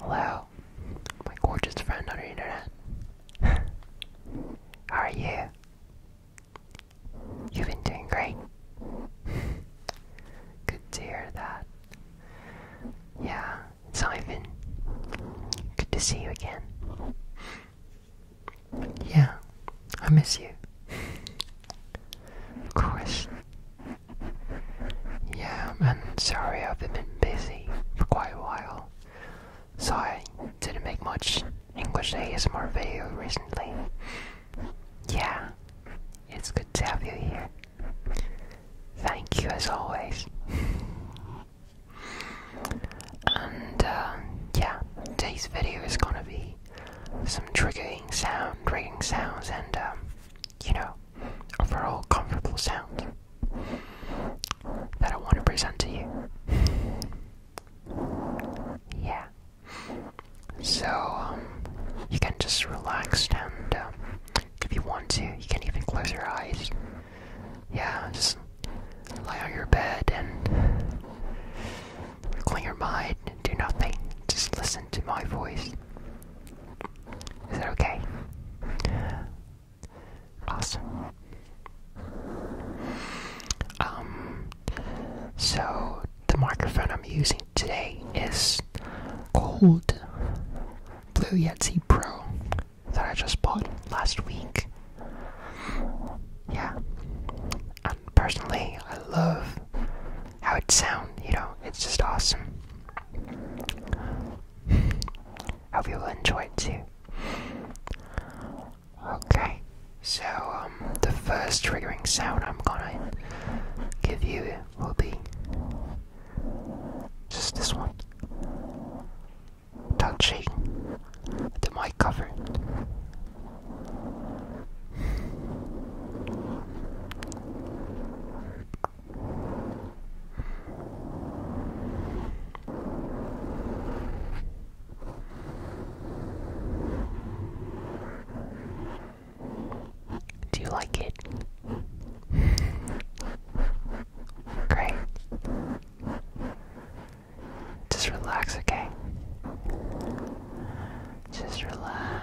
Hello, my gorgeous friend on the internet. How are you? You've been doing great. Good to hear that. Yeah, it's Ivan. Good to see you again. Yeah, I miss you of Yeah, I'm sorry I've been busy for quite a while. So I didn't make much English ASMR video recently. Yeah, it's good to have you here. Thank you as always. And uh, yeah, today's video is gonna be some triggering sound, triggering sounds, and um, you know, overall comfortable sound that I want to present to you. Yeah. So, um, you can just relax and um, if you want to, you can even close your eyes. Yeah, just lie on your bed and clear your mind, do nothing, just listen to my voice. Is that okay? Awesome. Um, so the microphone I'm using today is Gold Blue Yeti Pro that I just bought last week. Yeah. And personally, I love how it sound, you know, it's just awesome. Hope you'll enjoy it too. Okay, so um, the first triggering sound I'm gonna give you will be just this one touching the mic cover. Do you like it? Great. Just relax, okay? Just relax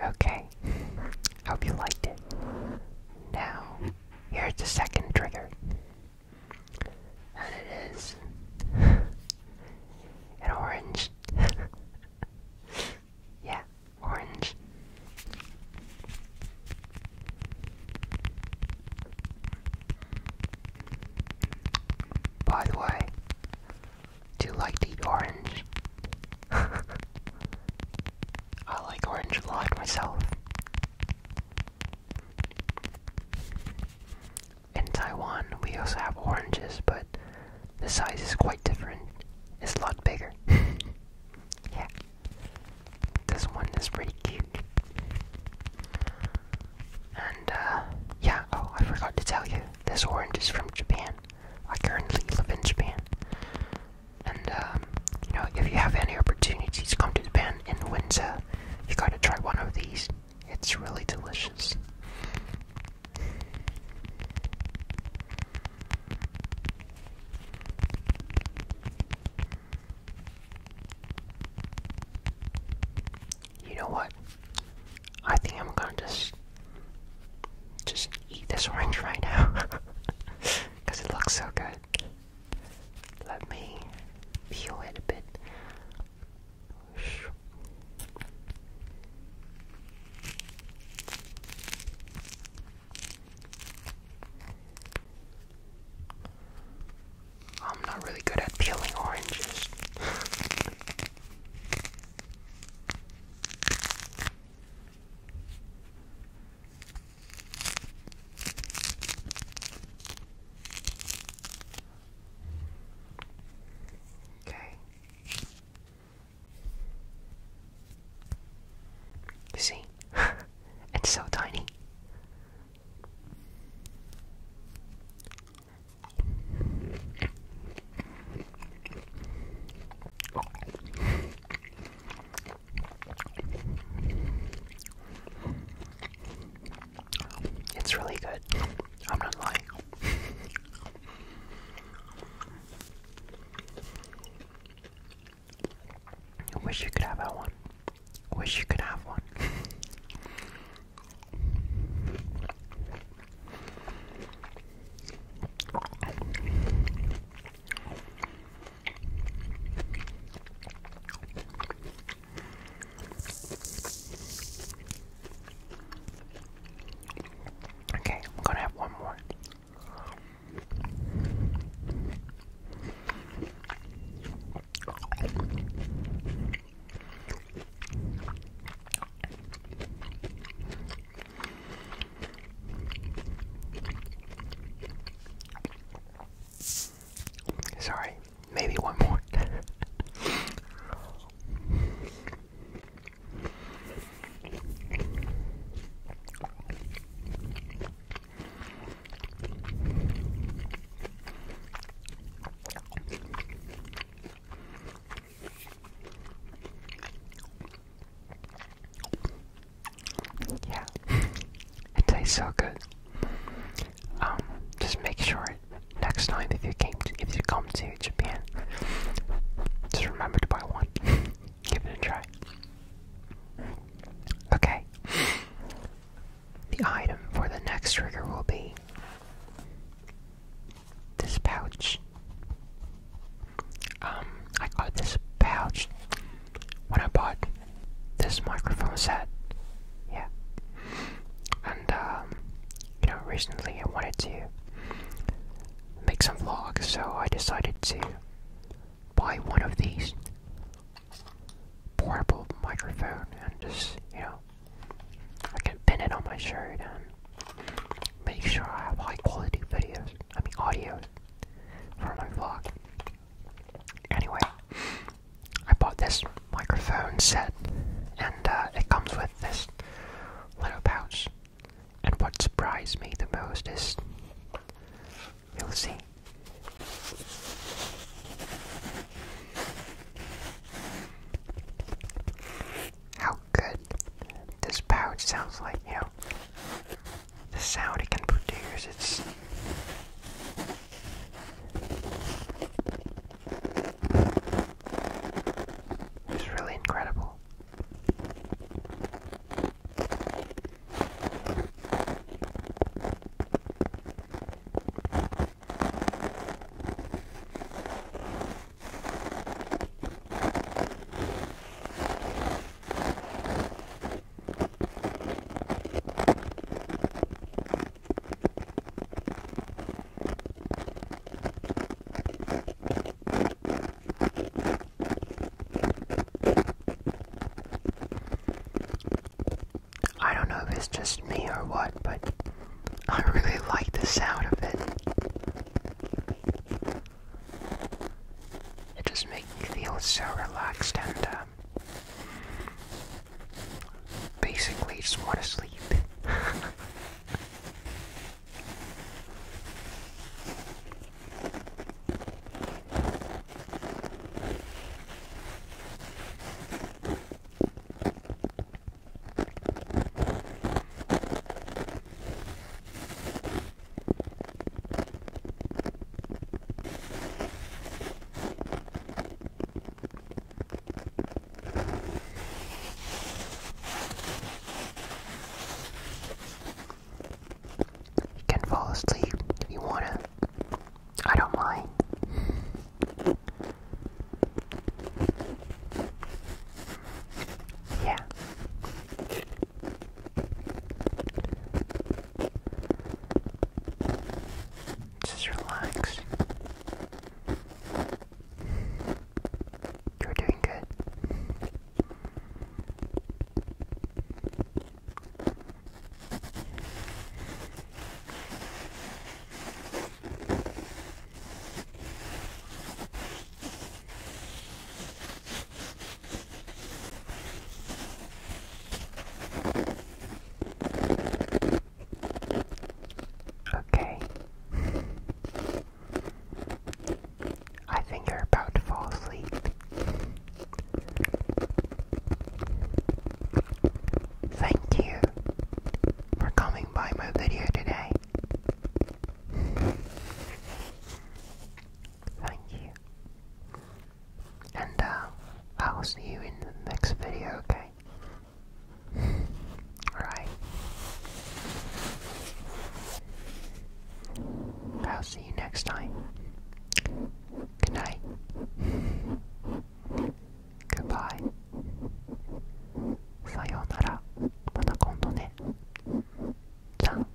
Okay, hope you liked it. Now, here's the second trigger. And it is an orange. yeah, orange. By the way, do you like to eat orange? I like orange a lot myself. In Taiwan, we also have oranges, but the size is quite different. It's a lot bigger. yeah. This one is pretty cute. And, uh, yeah, oh, I forgot to tell you, this orange is from Japan. I currently live in Japan. And, um, you know, if you have any opportunities, come to Japan in winter you gotta try one of these. It's really delicious. You know what? I think I'm gonna just just eat this orange right now because it looks so good. Let me peel it a bit. I'm not really good at peeling oranges. Okay. You see? it's so tiny. It's really good. I'm not lying. I wish you could have that one. wish you could have one. Okay, I'm gonna have one more. Sorry, maybe one more. yeah. It tastes so good. Um, just make sure next time if you came if you come to Japan, just remember to buy one. Give it a try. Okay. The item for the next trigger will be this pouch. Um, I got this pouch when I bought this microphone set. Yeah. And um, you know, recently I wanted to make some vlogs, so I decided to buy one of these portable microphone and just you know I can pin it on my shirt and make sure I have high quality videos I mean audio for my vlog anyway I bought this microphone set, and uh, it comes with this little pouch. And what surprised me the most is you'll see. How good this pouch sounds like, you know, the sound it can produce, it's it's really incredible. I don't know if it's just me or what, but I really like the sound of it. It just makes me feel so relaxed and um, um, basically, just want to sleep. You can fall asleep if you wanna. I don't mind. Yeah. Just relax. You're doing good. Okay. I think you're about to fall asleep. Thank you for coming by my video today. Thank you. And uh, I'll see you in the next video, okay? okay? I'll see you next time. Good night. Goodbye. Sayonara. また今度ね。じゃん。